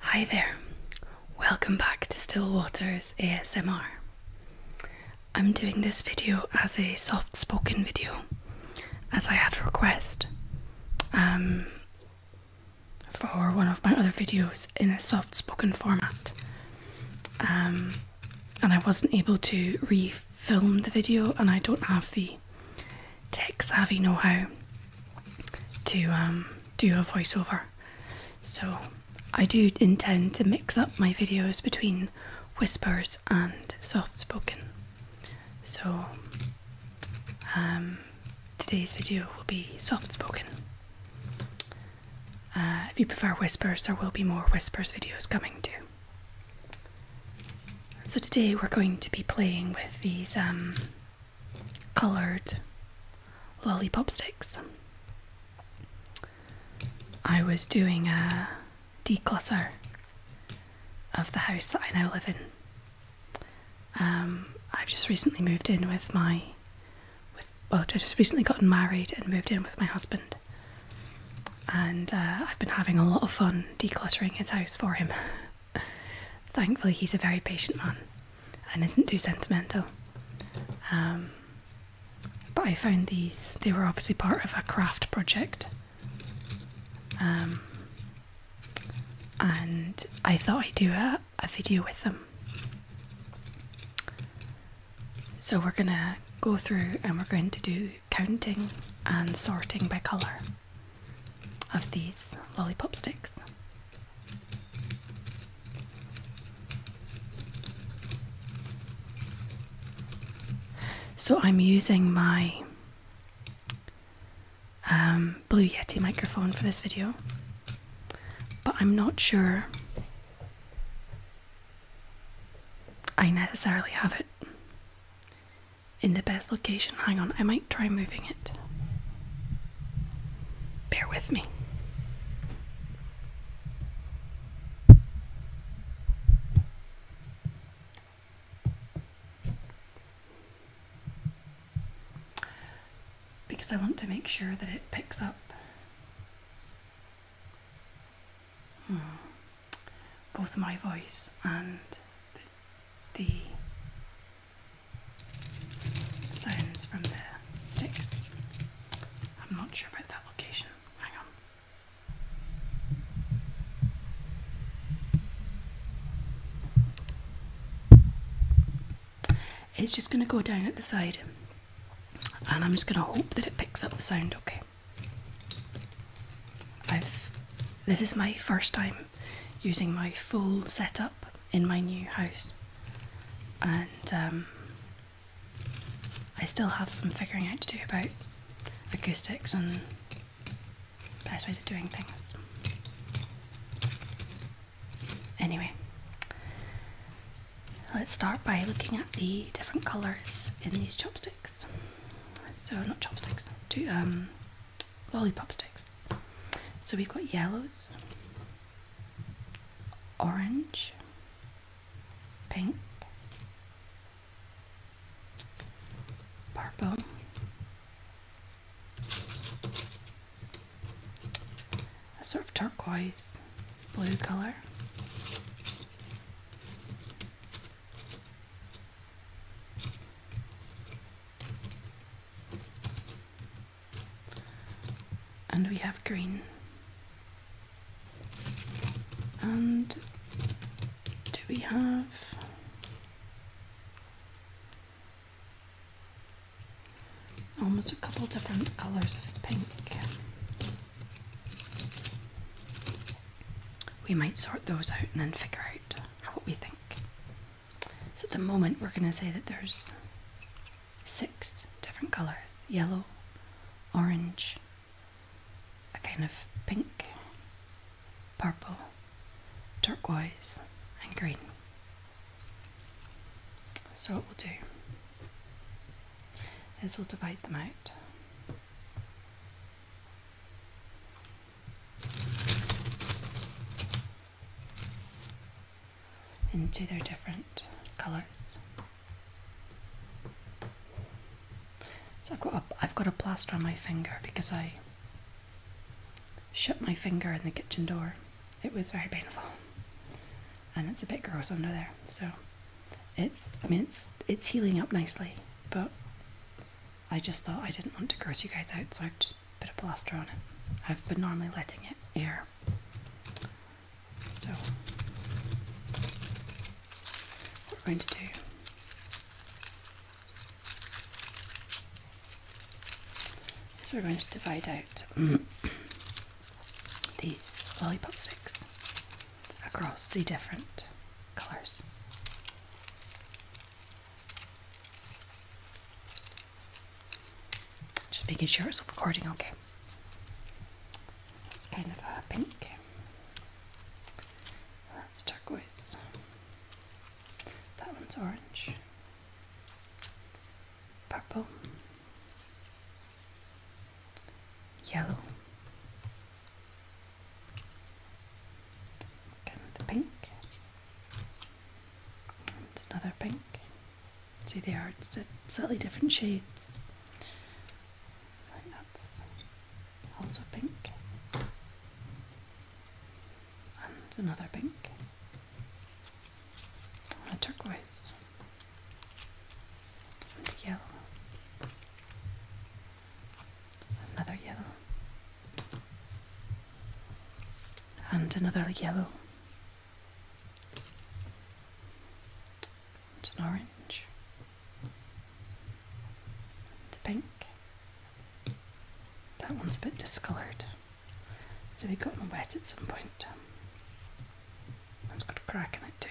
Hi there, welcome back to Still Waters ASMR. I'm doing this video as a soft spoken video, as I had a request um, for one of my other videos in a soft spoken format. Um, and I wasn't able to re film the video, and I don't have the tech savvy know how to um, do a voiceover. So I do intend to mix up my videos between whispers and soft spoken. So um, today's video will be soft spoken. Uh, if you prefer whispers, there will be more whispers videos coming too. So today we're going to be playing with these um, colored lollipop sticks. I was doing a declutter of the house that I now live in. Um, I've just recently moved in with my, with well, I just recently gotten married and moved in with my husband, and uh, I've been having a lot of fun decluttering his house for him. Thankfully, he's a very patient man and isn't too sentimental. Um, but I found these, they were obviously part of a craft project. Um, and I thought I'd do a, a video with them. So we're gonna go through and we're going to do counting and sorting by colour of these lollipop sticks. So I'm using my um, Blue Yeti microphone for this video, but I'm not sure I necessarily have it in the best location. Hang on, I might try moving it. Bear with me. Because I want to make sure that it picks up. Hmm. Both my voice and the the sounds from the sticks. I'm not sure about that location. Hang on. It's just going to go down at the side and I'm just going to hope that it picks up the sound okay. this is my first time using my full setup in my new house, and um, I still have some figuring out to do about acoustics and best ways of doing things. Anyway, let's start by looking at the different colours in these chopsticks. So, not chopsticks, two, um, lollipop sticks. So we've got yellows, orange, pink, purple, a sort of turquoise blue colour. And we have green. And do we have almost a couple different colors of pink? We might sort those out and then figure out what we think. So at the moment, we're going to say that there's six different colours yellow, orange, a kind of pink, purple, turquoise, and green. So, what we'll do is we'll divide them out into their different colors. So I've got a, I've got a plaster on my finger because I shut my finger in the kitchen door. It was very painful, and it's a bit gross under there. So it's I mean it's it's healing up nicely, but I just thought I didn't want to gross you guys out, so I've just put a plaster on it. I've been normally letting it air. So, what we're going to do is we're going to divide out these lollipop sticks across the different colours. Just making sure it's recording okay. So it's kind of a pink. That's turquoise. That one's orange. Purple. Yellow. Kind the pink and another pink. See, they are slightly different shades. that's also pink, and another pink, a turquoise, and yellow, another yellow, and another yellow and an orange and a pink that one's a bit discoloured so we got them wet at some point that's got a crack in it too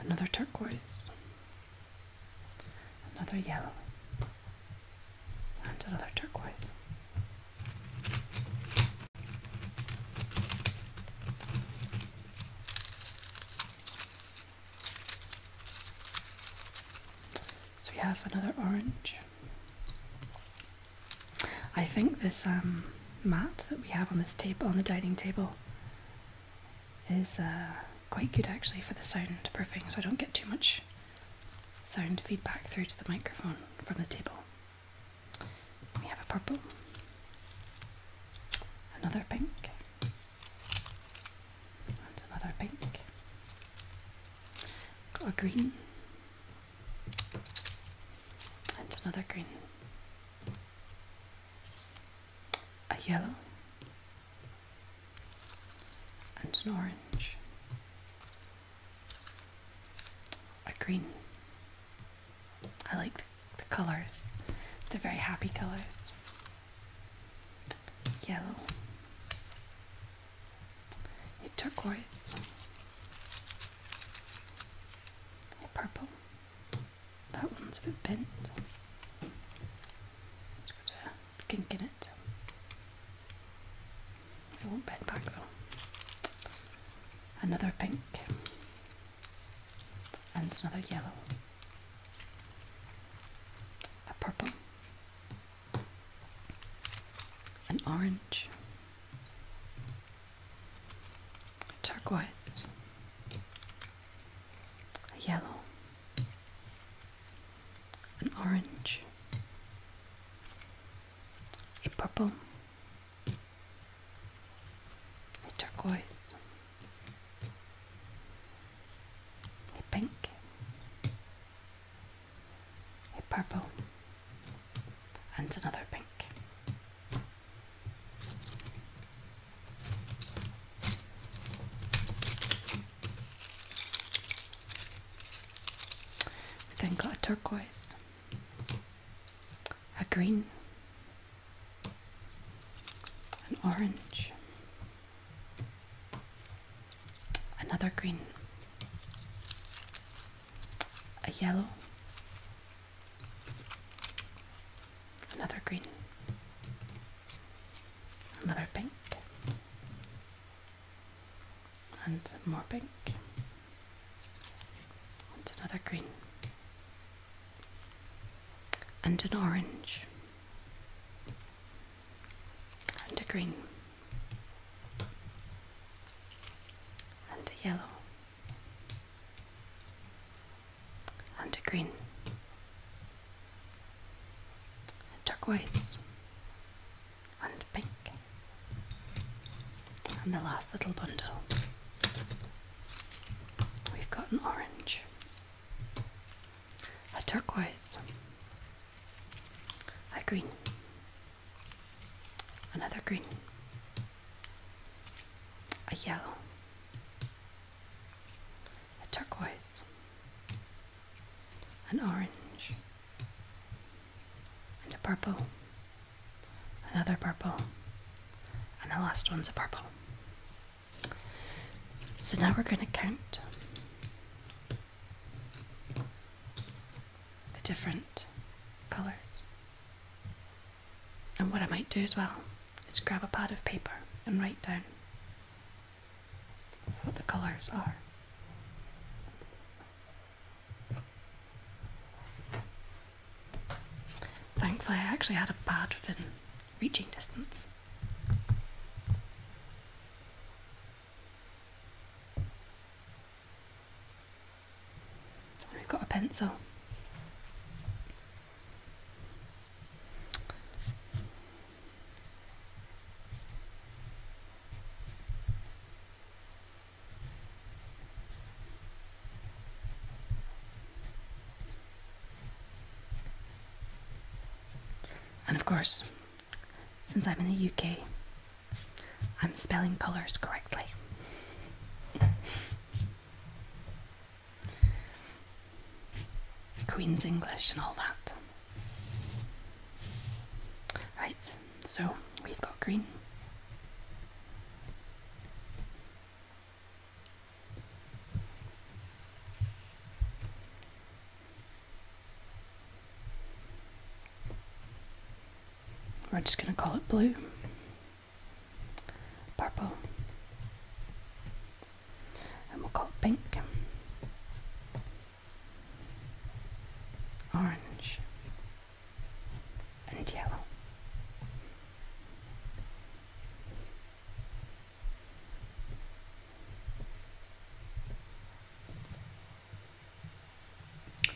another turquoise another yellow and another turquoise. So we have another orange. I think this um, mat that we have on this table, on the dining table, is uh, quite good actually for the soundproofing, so I don't get too much sound feedback through to the microphone from the table. We have a purple, another pink, and another pink. Got a green, and another green, a yellow, and an orange, a green. I like the, colours, they're very happy colours. Yellow, a turquoise, a purple. That one's a bit bent. Let's go to kink in it. I won't bend back though. Another pink and another yellow. A purple. An orange. A turquoise. A yellow an orange, a purple, a turquoise, a pink, a purple, and another pink. We then got a turquoise, a green, an orange, another green, a yellow, another green, another pink, and more pink and another green and an orange and a green and a yellow and a green turquoise and pink. And the last little bundle, we've got an orange, a turquoise, a green, another green, a yellow, a turquoise, an orange, and a purple, another purple, and the last one's a purple. So now we're going to count the different colours. And what I might do as well is grab a pad of paper and write down what the colors are. Thankfully, I actually had a pad within reaching distance. I have got a pencil. And of course, since I'm in the UK, I'm spelling colours correctly. Queen's English and all that. Right, so we've got green. We're just going to call it blue, purple, and we'll call it pink orange, and yellow.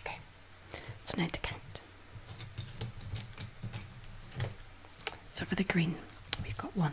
Okay, so now to count. So for the green, we've got one,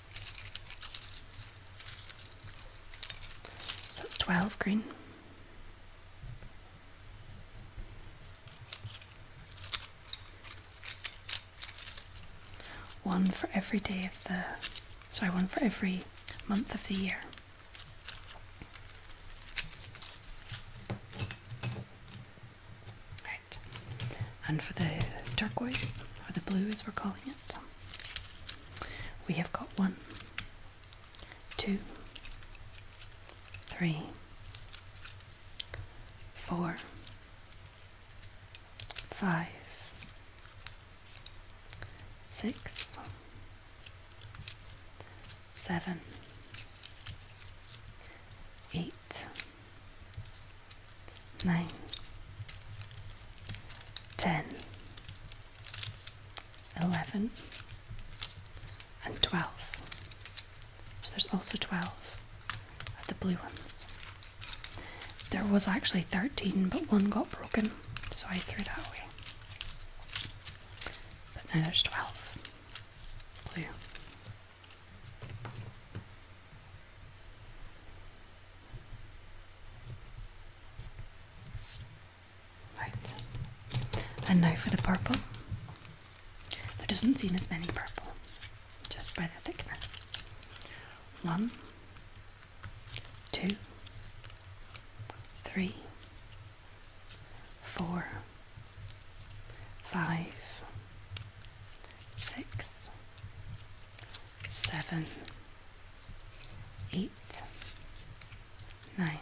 So it's 12 green. One for every day of the, sorry, one for every month of the year. And for the turquoise, or the blue as we're calling it, we have got one, two, three, four, five, six, seven, eight nine, ten, eleven, and twelve. So there's also twelve of the blue ones. There was actually thirteen, but one got broken, so I threw that away. But now there's twelve blue. Right. And now for the purple. There doesn't seem as many purple, just by the thickness. One, two, three, four, five, six, seven, eight, nine,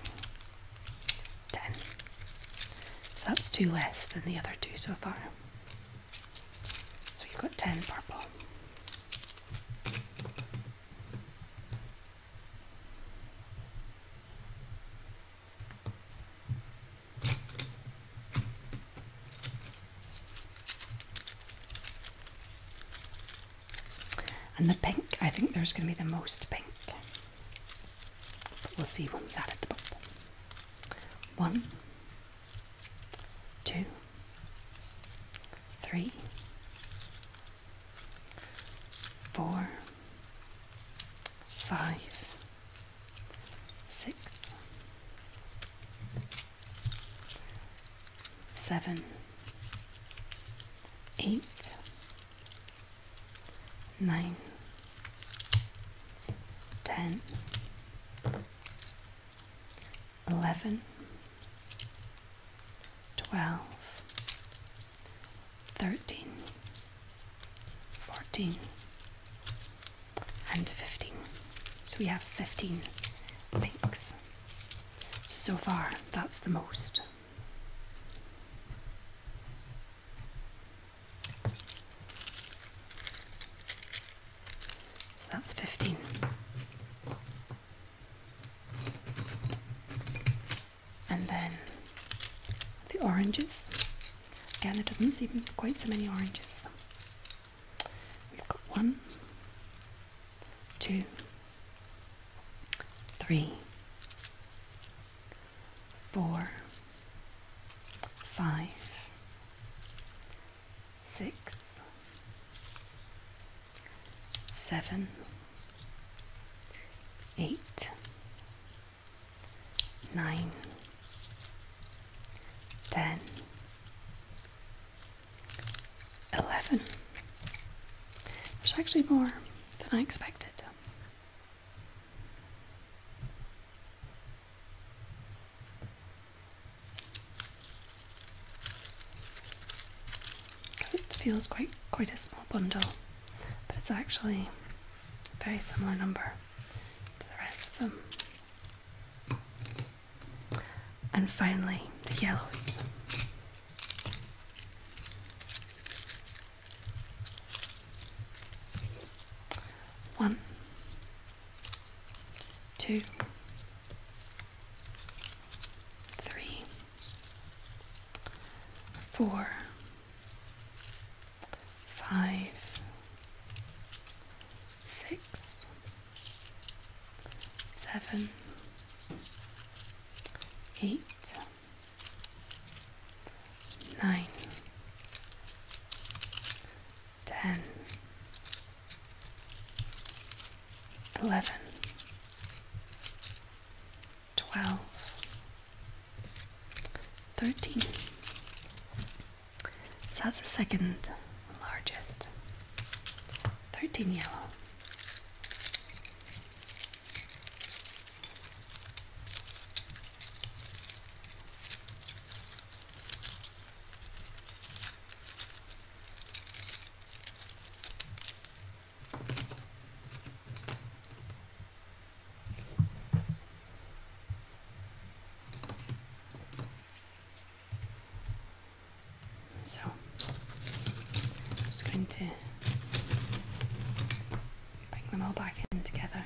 ten. So that's two less than the other two so far. So you've got ten purple. And the pink, I think there's going to be the most pink. But we'll see when we've added the bottom. One, two, three, four, five, six, seven, eight, nine, ten, eleven, twelve, thirteen, fourteen and 15. So we have 15 pinks. So, far, that's the most. So that's 15. And then the oranges. Again, it doesn't seem quite so many oranges. We've got one, two, three, four, five, six, seven, eight, nine ten, eleven. There's actually more than I expected. It feels quite quite a small bundle, but it's actually a very similar number to the rest of them. And finally, the yellows. One, two, three, four, five, six, seven, eight, nine, ten, eleven, twelve, thirteen. So that's the second largest. 13 yellow. So I'm just going to bring them all back in together.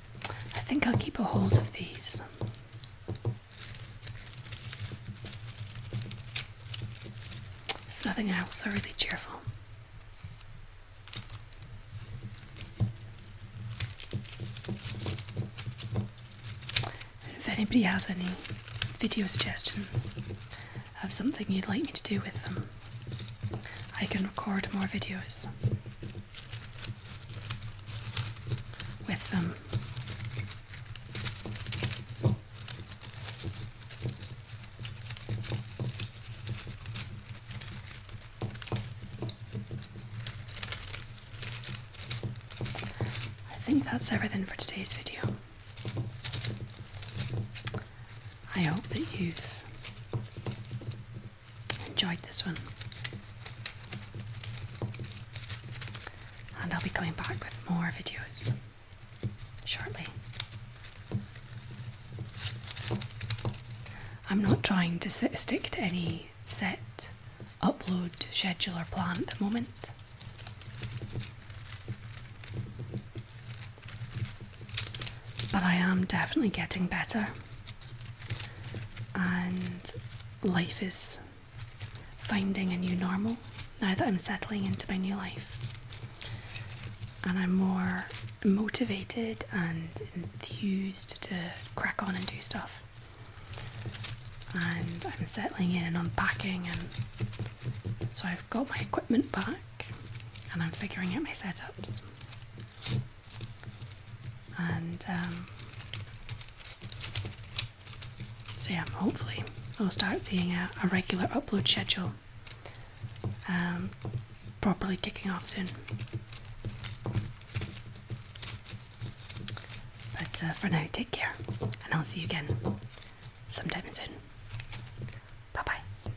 I think I'll keep a hold of these. If nothing else, they're really cheerful. if anybody has any video suggestions of something you'd like me to do with them, I can record more videos with them. I think that's everything for today's video. I hope that you've enjoyed this one. And I'll be coming back with more videos shortly. I'm not trying to stick to any set upload schedule or plan at the moment. But I am definitely getting better and life is finding a new normal now that I'm settling into my new life. And I'm more motivated and enthused to crack on and do stuff. And I'm settling in and unpacking, and so I've got my equipment back and I'm figuring out my setups. And um, so, yeah, hopefully, I'll start seeing a, regular upload schedule um, properly kicking off soon. But uh, for now, take care, and I'll see you again sometime soon. Bye bye.